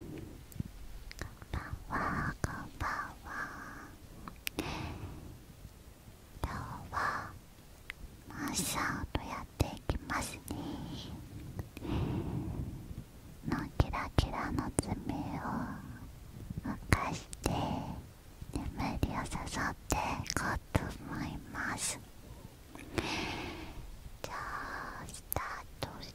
こんばんはこんばんは今日はマッサーとやっていきますねのキラキラの爪を浮かして眠りを誘っていこうと思いますじゃあスタートし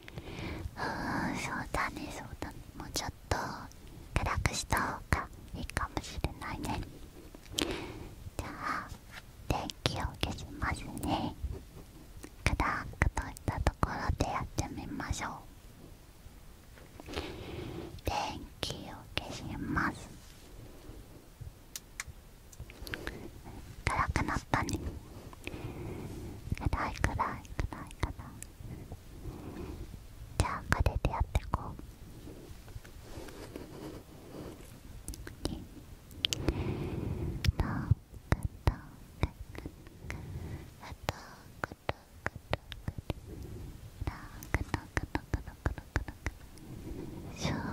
うんそうだねそうだねもうちょっと暗くした方がいいかもしれないねじゃあ電気を消しますね暗くとしたところでやってみましょう電気を消します暗くなったね暗い暗い暗い暗いじゃあ彼でやってこう。シューッと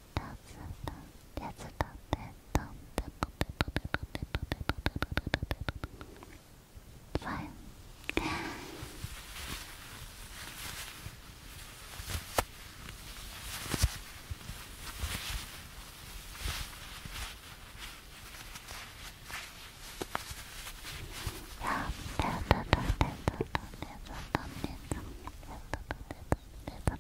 Fine. Yeah, that, that, that, that, that, that, that, that, that, that, that, that,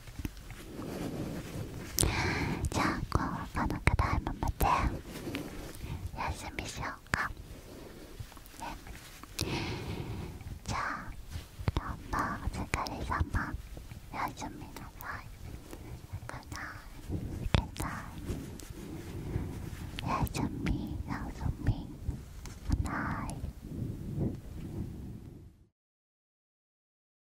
じゃあこうこのく題いまた休みしようかねじゃあどうもお疲れ様おやすみなさいくないくないおやすみおやすみくない